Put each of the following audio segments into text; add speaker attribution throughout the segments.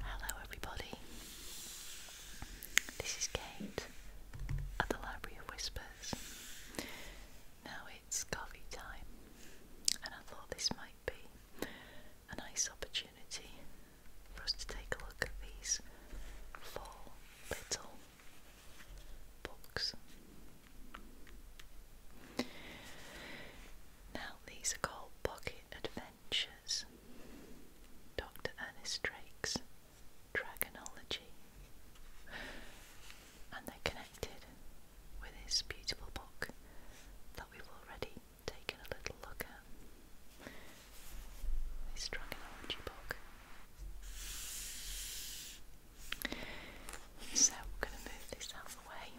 Speaker 1: Hello, everybody. This is Kate at the Library of Whispers. Now it's coffee time, and I thought this might be a nice opportunity for us to take a look at these four little books. Now, these are called Pocket Adventures. Dr. Ernest Drake's Dragonology, and they're connected with his beautiful book that we've already taken a little look at. This Dragonology book. So we're going to move this out of the way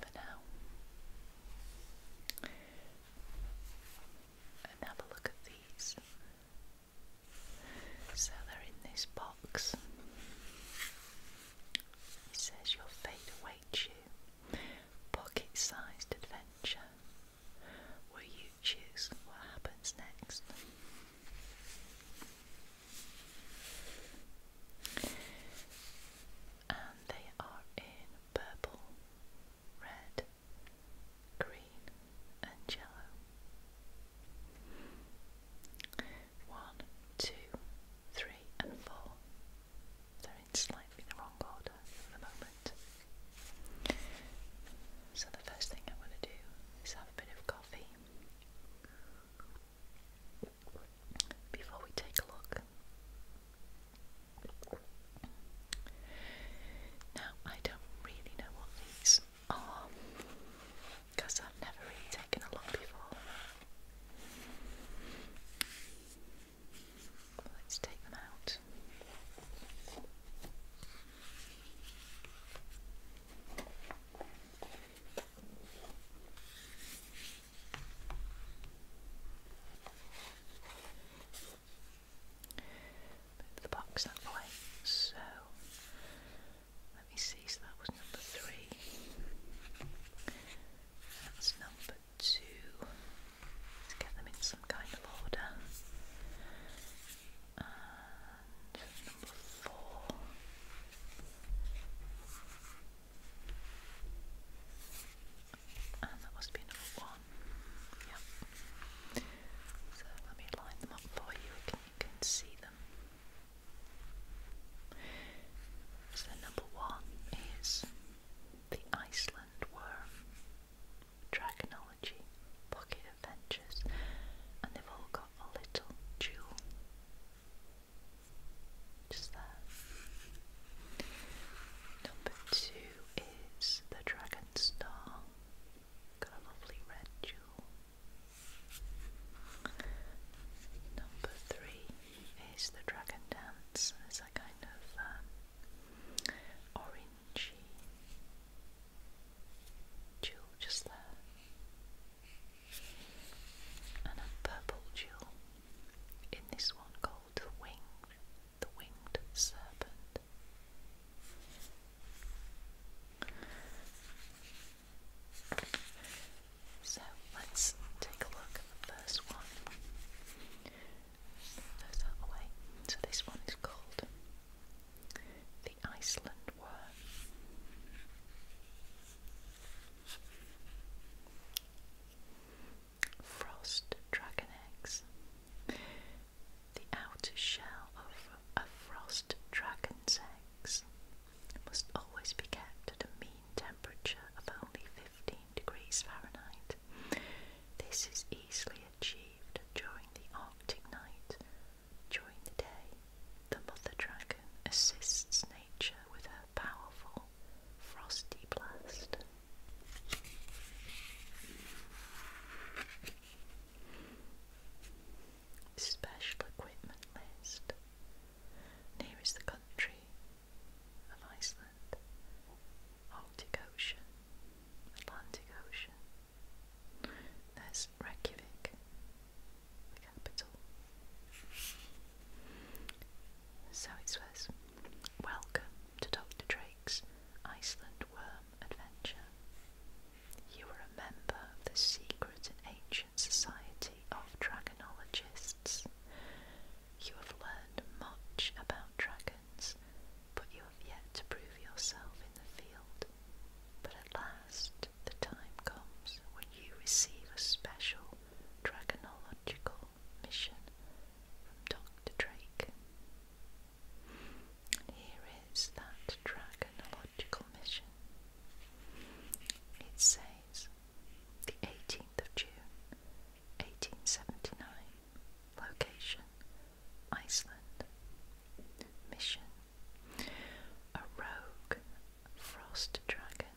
Speaker 1: for now. And have a look at these. So they're in this box. It says your fate awaits you. Pocket sized adventure. Will you choose what happens next? and they are in purple, red, green, and yellow. One, two, three, and four. They're in slightly the wrong order for the moment. So, the first thing I want to do is have a bit of coffee before we take a look. Now, I don't really know what these are because I've never really taken a look before. Let's take them out the box that way. So let me see, so that was number three. That's number two. Let's get them in some kind of order. And number four that must be number one. Yep. So let me line them up for you and you can see them. So number one is the Iceland worm, Dragonology, Pocket Adventures, and they've all got a little jewel. Just there. Number two is the Dragon Star. Got a lovely red jewel. Number three is the Dragon Dance. It's a kind of um, orangey jewel just there. And a purple jewel in this one called the wing, the winged serpent. So let's take a look first one. Move So this one is called the Iceland worm frost dragon eggs. The outer shell of a frost dragon's eggs must always be kept at a mean temperature of only 15 degrees Fahrenheit. This is easily achieved during the Arctic night. During the day, the mother dragon assists nature with her powerful frosty blast. Special equipment list. Near the country of Iceland, Arctic Ocean, Atlantic Ocean. There's Reykjavik, the capital. So it says Welcome to Dr. Drake's Iceland Worm Adventure. You are a member of the secret and ancient society of dragonologists. You have learned much about dragons, but you have yet to prove yourself in the field. But at last, the time comes when you receive a special dragonological mission from Dr. Drake. here is that dragonological mission. It says the 18th of June 1879, location Iceland, mission a rogue frost dragon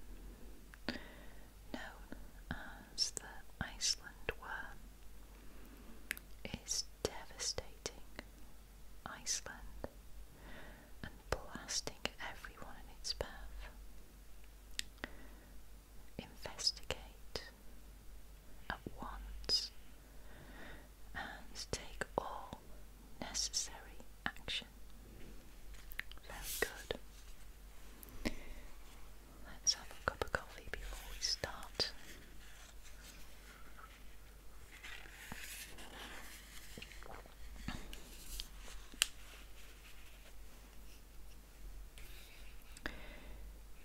Speaker 1: known as the Iceland worm is devastating Iceland and blasting everyone in its path. Investigate at once and take all necessary action. Very good. Let's have a cup of coffee before we start.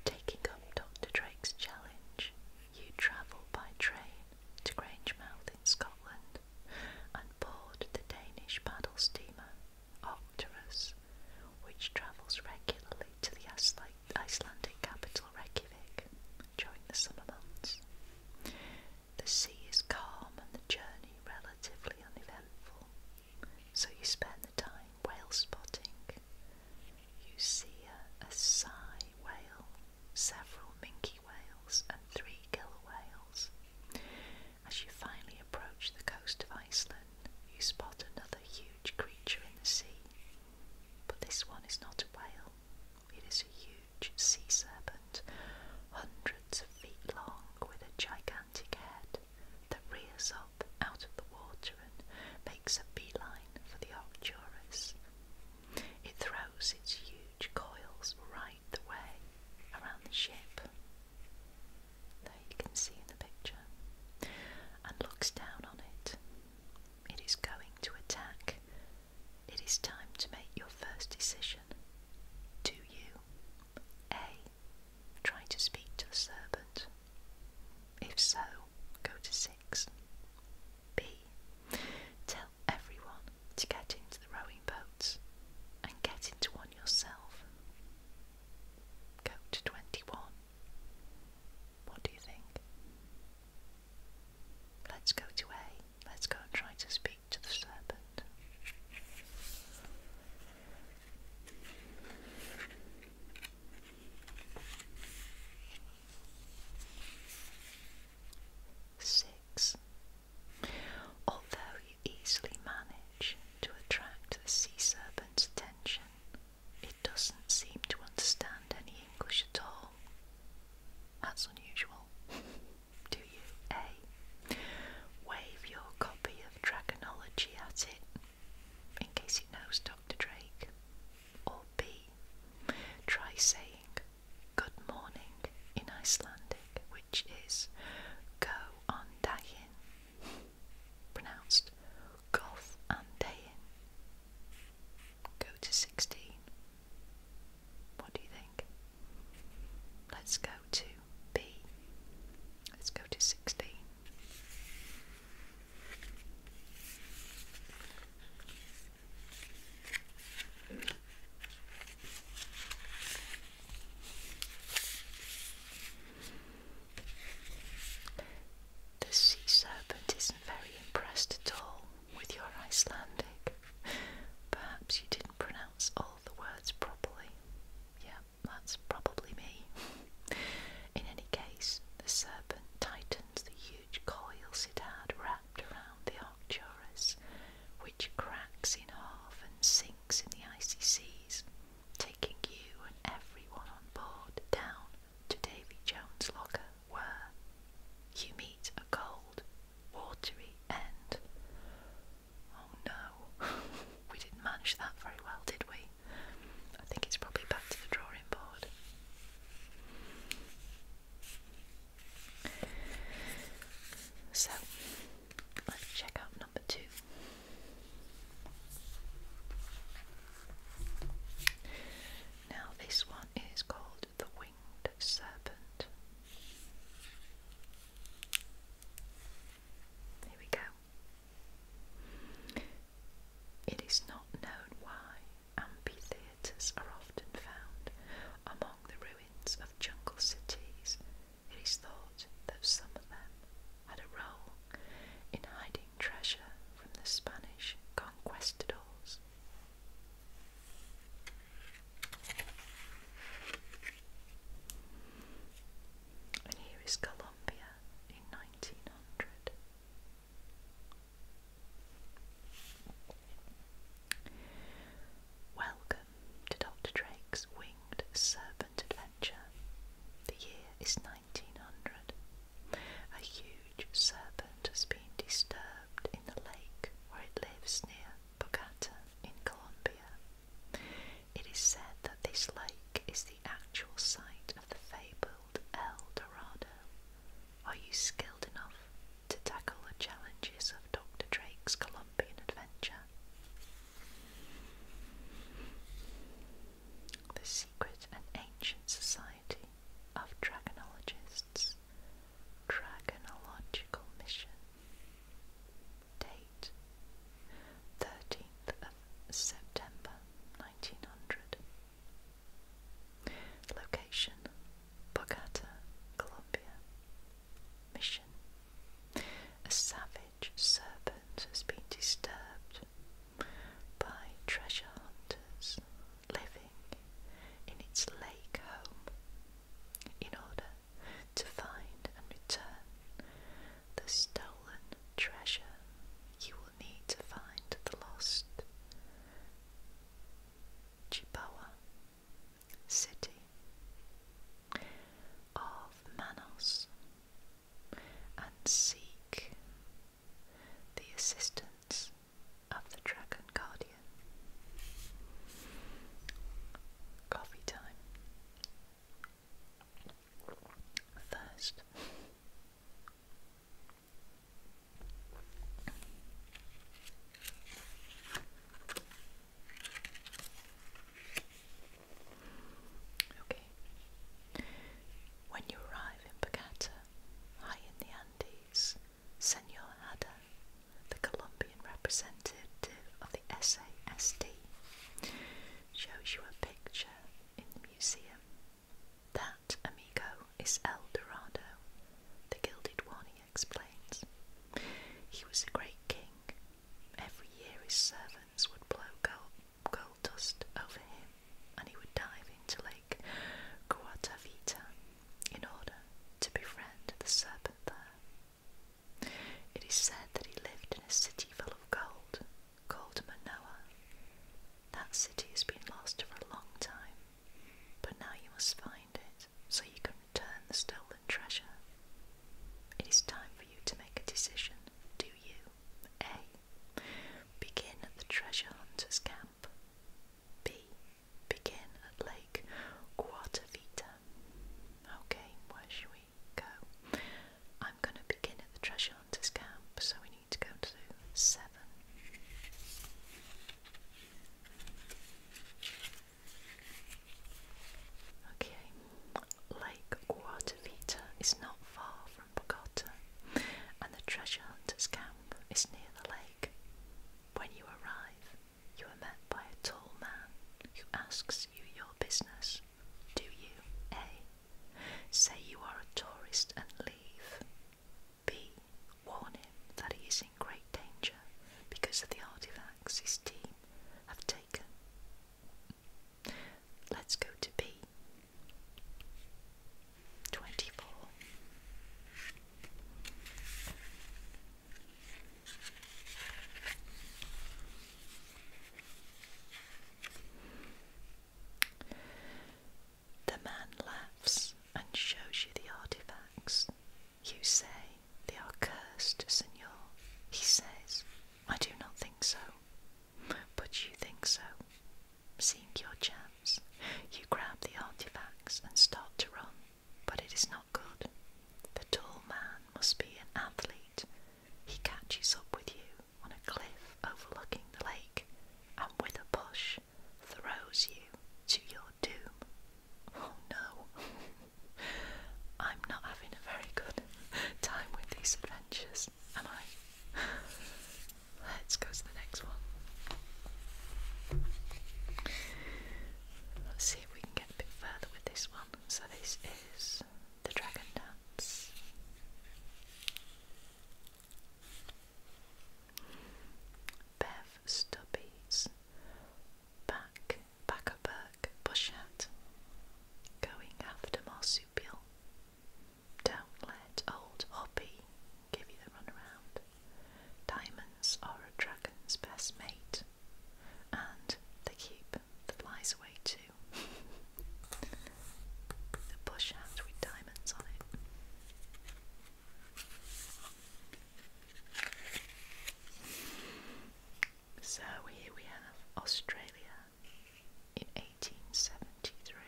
Speaker 1: Taking up Dr. Drake's challenge, you travel by train to Grangemouth in Scotland and board the Danish paddle steamer. Ox which travels regularly to the Icelandic capital Reykjavik during the summer months. The sea is calm and the journey relatively uneventful, so you spend the time whale spotting. You see a, a whale, several minke whales, and three killer whales. As you finally approach the coast of Iceland, you spot another huge creature in the sea. But this one is not a whale, it is a huge sea serpent, hundreds of feet long, with a gigantic head that rears up out of the water and makes a beeline for the Arcturus. It throws its huge coils right the way around the ship there you can see in the picture, and looks down on it. It is going to attack. It is time to make your first decision. Do you A. Try to speak to the serpent? If so, go to 6. B. Tell everyone to get into the rowing boats and get into one yourself go to 21. What do you think? Let's go to A. Let's go and try to speak to the serpent. Six. Although easily manage to attract the sea serpent's attention. It doesn't seem to understand any English at all. That's unusual. Do you? A. Wave your copy of Dragonology at it, in case it knows Dr. Drake. Or B. Try saying good morning in Icelandic, which is go on dagin pronounced Gough and Dayin. Go to 16. What do you think? Let's go to B. Let's go to 16. The sea serpent isn't very impressed at all with your Icelandic. Perhaps you didn't pronounce all the words properly. Yeah, that's probably me. In any case, the serpent tightens the huge coils it had wrapped around the Arcturus, which cracks in half and sinks in the icy seas taking you and everyone on board down to Davy Jones' locker, where you meet a cold, watery end. Oh no, we didn't manage that very well, did we? I think it's probably back to the drawing board. So, Let's check out number two. Now, this one is called the Winged Serpent. Here we go. It is not known why amphitheatres are often found among the ruins of jungle cities it is thought that some of them had a role in hiding treasure from the Spanish conquistadors. And here is Colombia in 1900. Welcome to Dr. Drake's Winged Serpent adventure. The year is 1900. A huge serpent has been disturbed in the lake where it lives near Bogota in Colombia. It is said that this lake is the actual site of the fabled El Dorado. Are you skilled enough to tackle the challenges of Dr. Drake's Colombian adventure? The Secret and Ancient Society of Dragonologists Dragonological Mission Date 13th of September 1900 Location Bogota, Colombia Mission a savage serpent has been disturbed by treasure hunters living in its lake home in order to find and return the stolen treasure you will need to find the lost Chibawa city of Manos and seek the assistance of the Dragon Guardian. Coffee time. First, when you arrive in Bogota, high in the Andes, Senor Hada, the Colombian representative of the SASD, shows you a picture in the museum. That, amigo, is El Dorado, the Gilded One he explains. He was a great king Every year his servants would blow gold, gold dust over him and he would dive into Lake Guatavita in order to befriend the serpent there. It is said that he lived in a city full of gold called Manoa. That city has been lost for a long time, but now you must find it so you can return the stolen treasure. It is time for you to make a decision do you A. Begin at the treasure hunter's camp, B. Begin at Lake Guatavita. Okay, where should we go? I'm going to begin at the treasure hunter's camp, so we need to go to 7. Okay, Lake Guatavita is not far from Bogota, and the treasure hunter's camp is near the lake. When you arrive, you are met by a tall man who asks you your business. Do you A. Say you are a tourist and leave? B. Warn him that he is in great danger because of the artifacts his team have taken. Let's go to B. 24. The man laughs and shows you the artifacts. You say, They are cursed, Senor. He says, I do not think so. But you think so. Seeing your chance, you grab the artifacts and start to run, but it is not good. The tall man must be an athlete. He catches up with you on a cliff overlooking the lake and with a push throws you to your doom. Oh no, I'm not having a very good time with these adventures, am I? Let's go to the next one. Let's see if we can get a bit further with this one. So, this is the Dragon Dance. Bev Stubbies. Back, back a Going after Mossy don't let old Hoppy give you the runaround. Diamonds are a dragon's best mate, and they keep the flies away too. the bush hat with diamonds on it. So here we have Australia in 1873.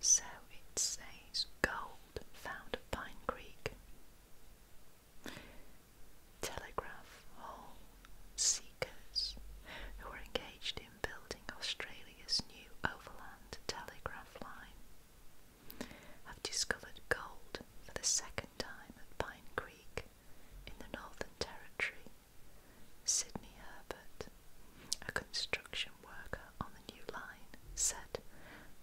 Speaker 1: So it says gold found at Pine Creek, telegraph hole seekers who were engaged in building Australia's new overland telegraph line have discovered gold for the second time at Pine Creek in the Northern Territory. Sydney Herbert, a construction worker on the new line, said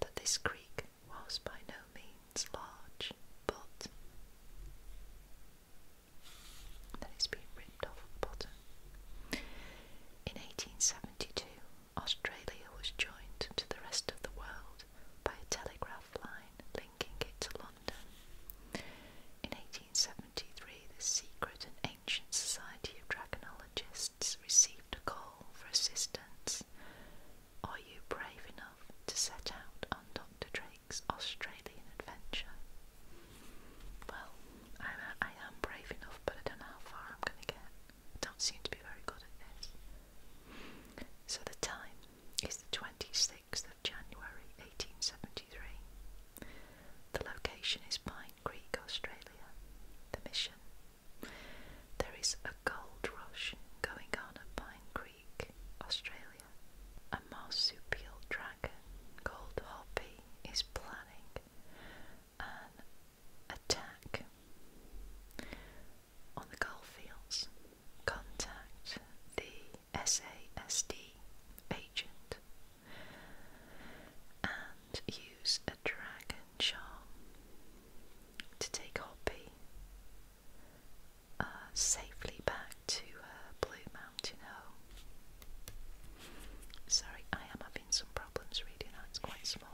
Speaker 1: that this creek was by no means large, but that it's ripped off bottom. In 1872, Australia was joined to the rest of the world by a telegraph line linking it to London. In 1873, the secret and ancient Society of Dragonologists received a call for assistance. Are you brave enough to set out on Dr. Drake's Australian adventure? Well, I'm, brave enough, but I don't know how far I'm going to get don't seem to be very good at this. So the time is the 26th of January 1873. The location is Pine Creek, Australia. The mission. There is a gold rush going on at Pine Creek, Australia. A marsupial dragon called Hoppy is planning an attack on the Fields, contact the SASD agent and use a dragon charm to take Hoppy uh, safely back to her Blue Mountain home. Sorry, I am having some problems reading that, it's quite small.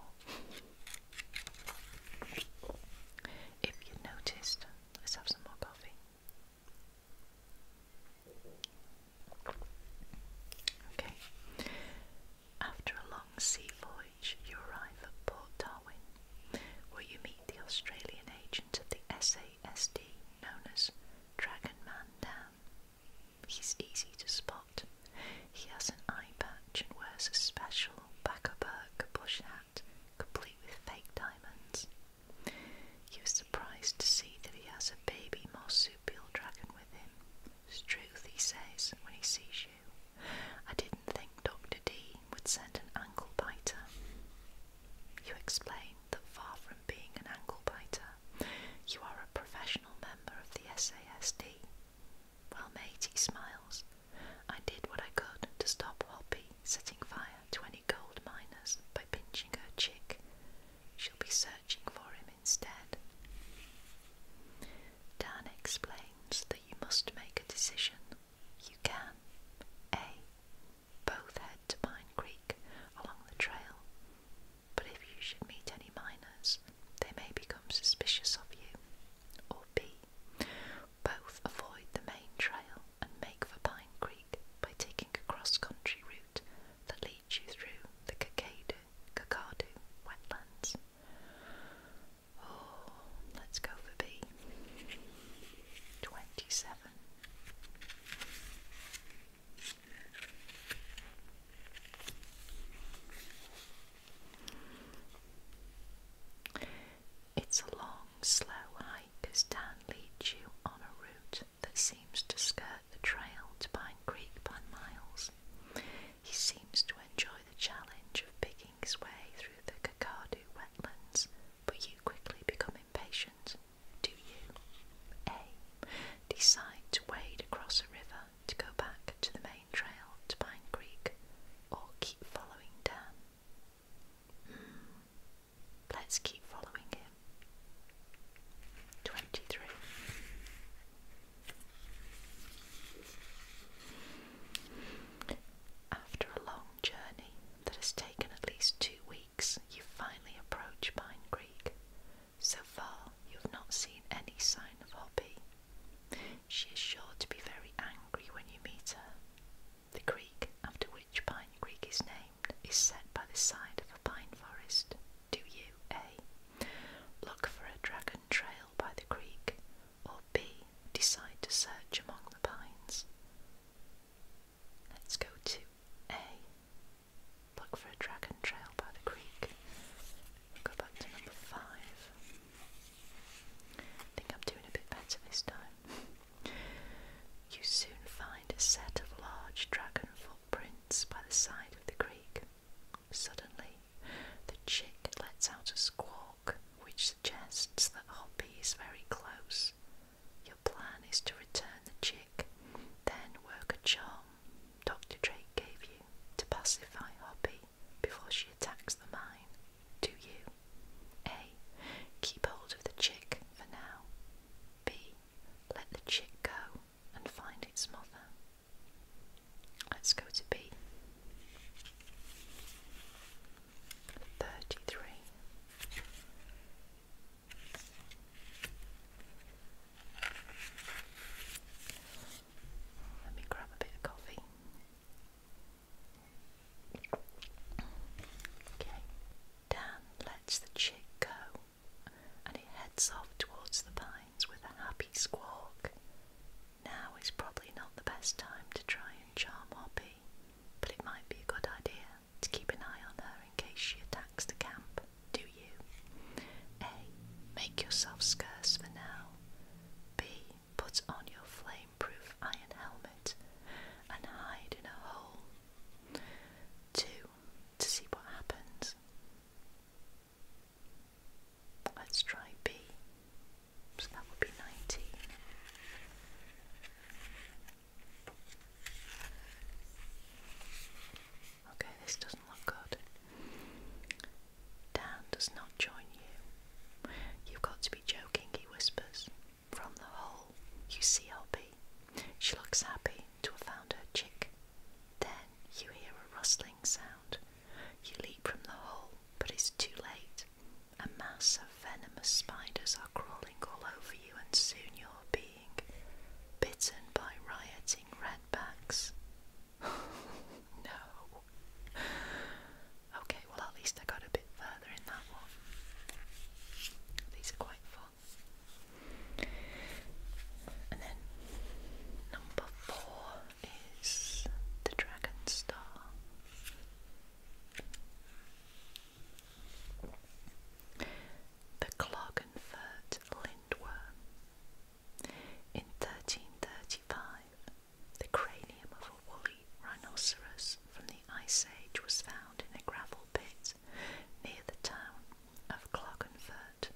Speaker 1: If you noticed, let's have some more coffee. Okay. After a long sea voyage, you arrive at Port Darwin, where you meet the Australian agent of the SASD known as Dragon Man Dan. He's easy to spot. He has an eye patch and wears a special backerburg bush hat, complete with fake diamonds. He was surprised to see that he has a baby marsupial dragon with him. "Truth," he says, when he sees you. I didn't think Dr. D would send an ankle biter. You explain that far from being an ankle biter, you are a professional member of the SASD. Well, mate, he smiles. I did what I could to stop Hoppy setting fire to any gold miners by pinching her chick. She'll be searching for him instead. Dan explains that you must make a decision. You can A. Both head to Pine Creek along the trail, but if you should meet any miners, they may become suspicious of you. Or B. Both avoid the main trail and make for Pine Creek by taking a cross-country route that leads you through the Kakadu, wetlands. Oh, let's go for B. 27. It's a long, slow hike as Dan leads you on a route that seems to skirt the trail to Pine Creek by miles. He seems to enjoy the challenge of picking his way through the Kakadu wetlands, but you quickly become impatient. Do you? A. Decide to wade across a river to go back to the main trail to Pine Creek or keep following Dan? Hmm. let's keep following him. 23. After a long journey that has taken at least two weeks, you finally approach Pine Creek. So far, you have not seen any sign of Hoppy, she is sure to be very angry when you meet her. The creek after which Pine Creek is named is set by the side of a pine forest. Do you A. Look for a dragon trail by the creek, or B. Decide to search among the pines? Let's go to A. Look for a dragon trail by the creek. go back to number five. I think I'm doing a bit better this time. You soon find a set of large dragon footprints by the side of the creek. Suddenly, the chick lets out a squawk which suggests that Hoppy is very close. Your plan is to return the chick, then work a charm Dr. Drake gave you to pacify Hoppy before she attacks the mine, do you? A. Keep hold of the chick for now. B. Let the chick go and find its mother. Let's go to B. 33. Let me grab a bit of coffee. Okay, Dan lets the chick go and he heads off towards the pines with a happy squawk. Now is probably not the best time to try and charm Hoppy, but it might be a good idea to keep an eye on her in case she attacks the camp. Do you? A. Make yourself scarce for now. B put on your flame-proof iron helmet and hide in a hole. Two, to see what happens. Let's try B. So that would be 19. Okay, this doesn't look good. Dan does not join you. You've got to be joking, he whispers. From the hole, you see Hoppy. She looks happy to have found her chick. Then you hear a rustling sound. You leap from the hole, but it's too late. A mass of venomous spiders are crawling all over you, and soon you're being bitten by rioting redbacks. no. Okay, well, at least I got a bit further in that one. These are quite fun. And then number four is the Dragon Star. The Cloggenfurt Lindworm. In 1335, the cranium of a woolly rhinoceros from the Ice Age was found in a gravel pit near the town of Clogganford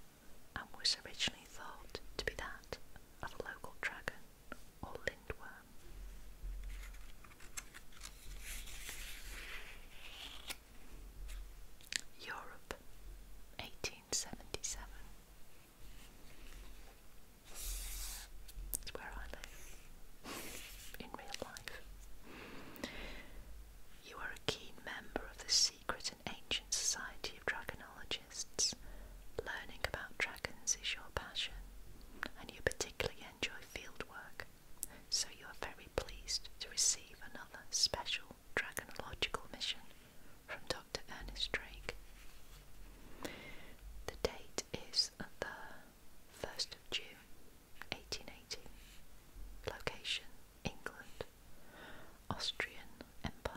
Speaker 1: and was originally thought to be that of a local dragon or lindworm. Europe, 1877. It's where I live in real life. You are a keen member of the secret and ancient society of dragonologists. Learning about dragons is your passion, and you particularly enjoy fieldwork, so you are very pleased to receive another special dragonological mission from Dr. Ernest Drake. The date date is the 1st of June 1880. Location England, Austrian Empire.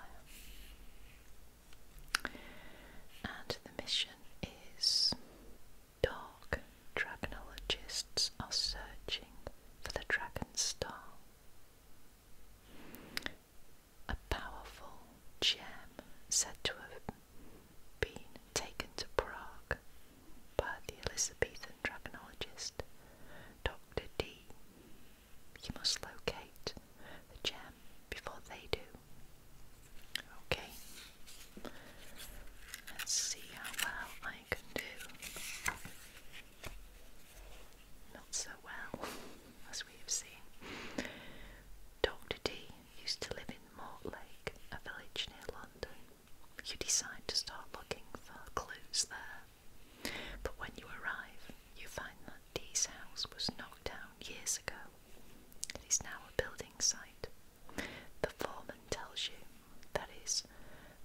Speaker 1: And the mission is Dark Dragonologists are searching for the Dragon Star a powerful gem said to have been taken to Prague by the Elizabethan dragonologist Dr. D. You must locate the gem before they do. Okay, let's see how well I can do. Not so well, as we have seen. Dr. D used to live in Mortlake, a village near London. You decide to start looking for clues there, but when you arrive, you find that D's house was knocked down years ago. It is now a building site. The foreman tells you that his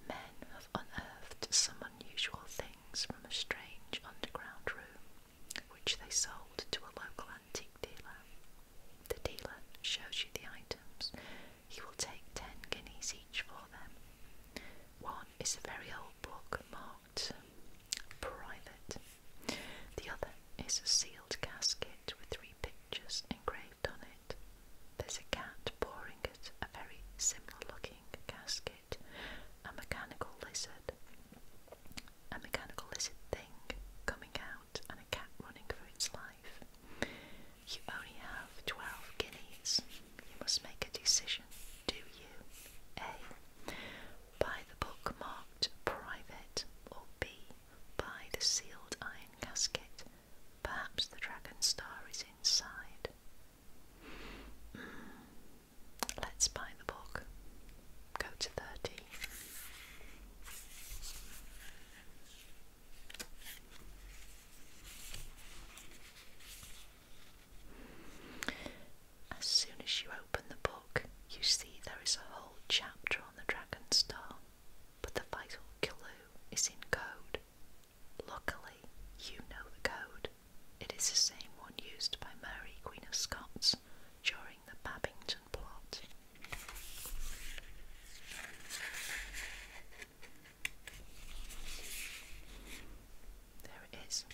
Speaker 1: men have unearthed some unusual things from a strange underground room which they sold to a local antique dealer. The dealer shows you the items. He will take ten guineas each for them. One is a very old book marked Private. The other is a sealed casket with three pictures engraved on it. There's a cat pouring it. a very similar looking casket, a mechanical lizard, a mechanical lizard thing coming out and a cat running for its life. You only have 12 guineas. You must make a decision. Do you A. Buy the book marked private or B. Buy the sealed iron casket? Perhaps the dragon star is inside. Hmm. Let's buy the book go to 30. As soon as you open the book, you see there is a whole chapter on the Dragon Star, but the vital clue is in code. Luckily, you know the code. It is the same one used by Mary, Queen of Scots, during the Babington there it is.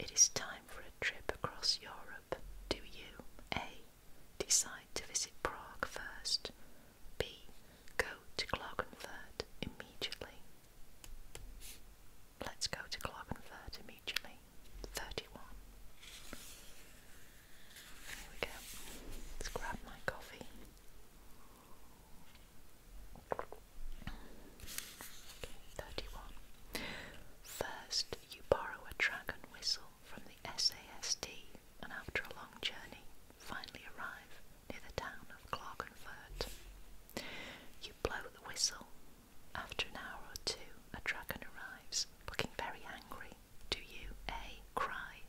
Speaker 1: It is time for a trip across Europe. Do you A. Decide to visit Prague first? B. Go to Klagenfurt immediately? Let's go to Clovenford immediately. 31. Here we go. Let's grab my coffee. Okay, 31. First, you borrow a dragon whistle from the SASD and after a long journey, finally arrive near the town of Clerkenfurt. You blow the whistle. After an hour or two, a dragon arrives, looking very angry. Do you A. Cry,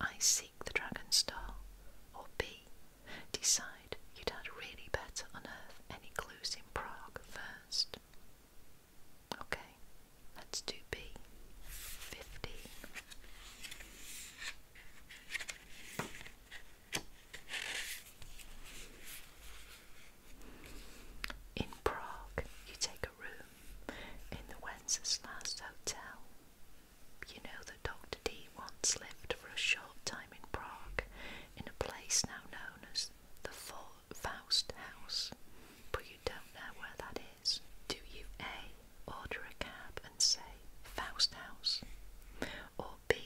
Speaker 1: I seek the dragon's doll, or B. Decide you'd had really better unearth any clues in Prague first? Okay, let's do B. fifty. In Prague, you take a room in the Wenceslas Hotel. You know that Dr. D once lived for a short time in Prague in a place now known as the Faust House, but you don't know where that is. Do you A. Order a cab and say Faust House, or B.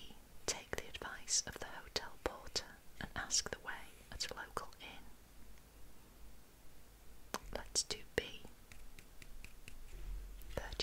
Speaker 1: Take the advice of the hotel porter and ask the way at a local inn. Let's do B. 34.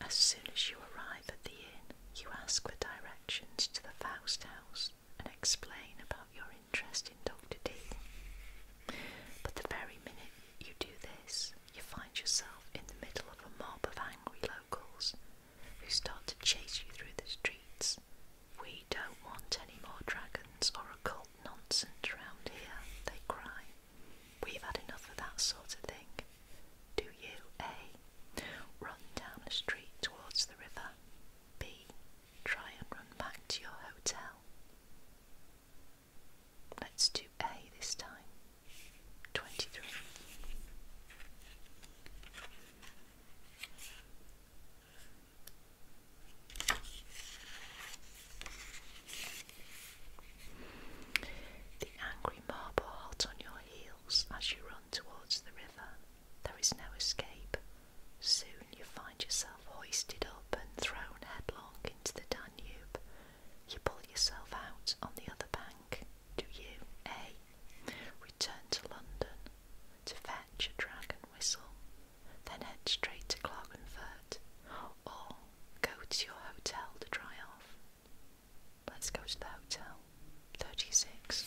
Speaker 1: As soon as you arrive at the inn, you ask for directions to the Faust House and explain about your interest in Dr. D. But the very minute you do this, you find yourself in the middle of a mob of angry locals who start to chase you through the streets. We don't want any more dragons or occult nonsense around here, they cry. We've had enough of that sort of thing. Do you A. Run down the street towards the river? B. Try and run back to your hotel? Let's do A this time. 23. The angry mob are hot on your heels as you run towards the river. There is no escape. Soon you find yourself hoisted up and thrown headlong into the Danube. You pull yourself out on the other bank. Do you A. Return to London to fetch a dragon whistle, then head straight to Clerkenfurt, or go to your hotel to dry off? Let's go to the hotel. 36.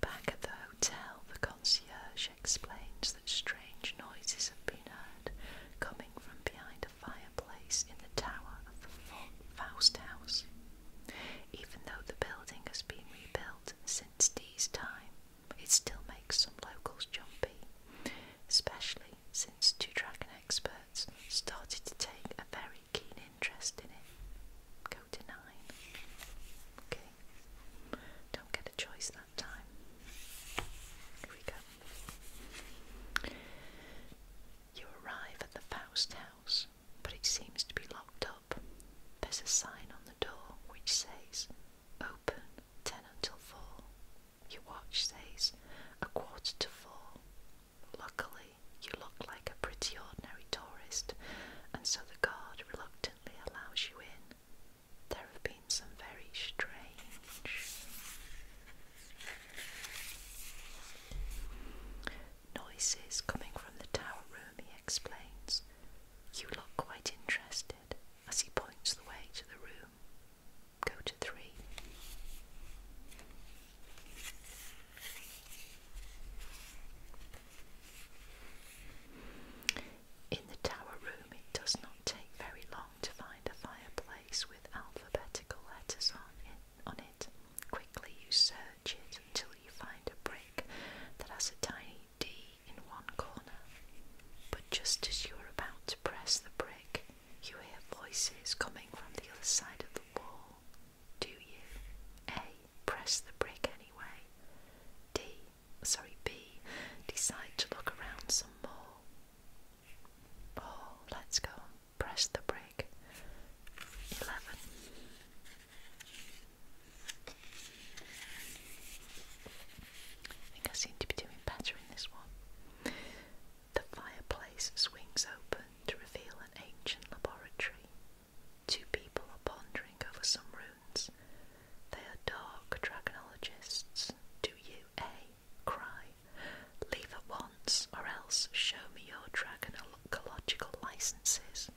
Speaker 1: Back at the hotel, the concierge explains that strange noises have been heard coming from behind a fireplace in the tower of the Faust House. Even though the building has been rebuilt since Dee's time, it still makes some locals jumpy, especially since two dragon experts started to take a very keen interest in it. Go to nine. Okay. Don't get a choice that time. Here we go. You arrive at the Faust house, but it seems to be locked there's a sign on the door which says open 10 until 4. Your watch says a quarter to 4. Luckily, you look like a pretty ordinary tourist, and so the guard reluctantly allows you in. There have been some very strange noises coming from the tower room, he explains. You look quite interested as he points the way to the room. Go to three. In the tower room, it does not take very long to find a fireplace with alphabetical letters on it. Quickly you search it until you find a brick that has a tiny D in one corner. But just as you are about to press the brick, you hear voices coming from the other side of the wall. Do you? A. Press the brick anyway. D. Sorry, B. Decide to look around some more. Oh, let's go. Press the brick. 11. I think I seem to be doing better in this one. The fireplace swings open to reveal an ancient laboratory. Two people are pondering over some runes. They are dark dragonologists. Do you A cry? Leave at once, or else show me your dragonological licenses.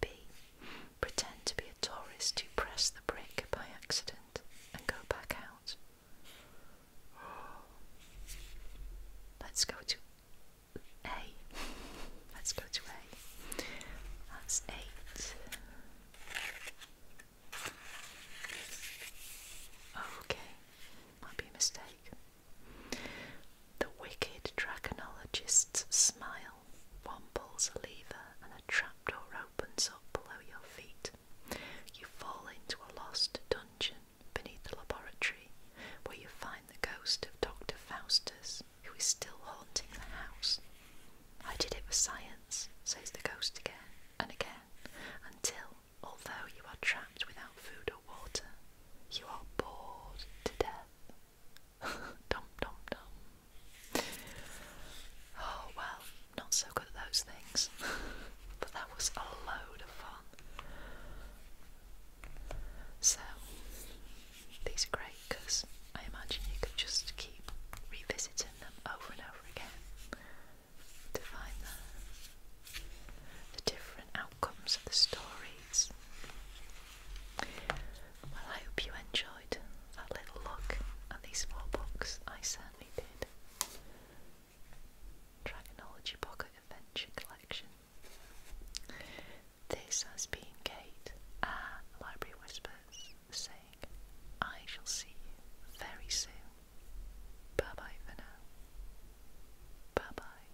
Speaker 1: B. Pretend to be a tourist who pressed the brick by accident and go back out. Let's go to A. Let's go to A. That's eight. Okay, might be a mistake. The wicked dragonologists smile. One pulls a lever and a trap door opens up below your feet. You fall into a lost dungeon beneath the laboratory where you find the ghost of Dr. Faustus, who is still haunting the house. I did it for science, says the ghost again and again, until, although you are trapped without food or water, you are bored to death dum dum dum. Oh well, not so good at those things. but that was a load of fun. So, these are great because I imagine you could just keep revisiting them over and over again to find the, the different outcomes the stories. Well, I hope you enjoyed that little look at these four books. I certainly did. Dragonology Pocket Adventure Collection. This has been Kate at Library Whispers saying, I shall see you very soon. Bye bye for now. Bye bye.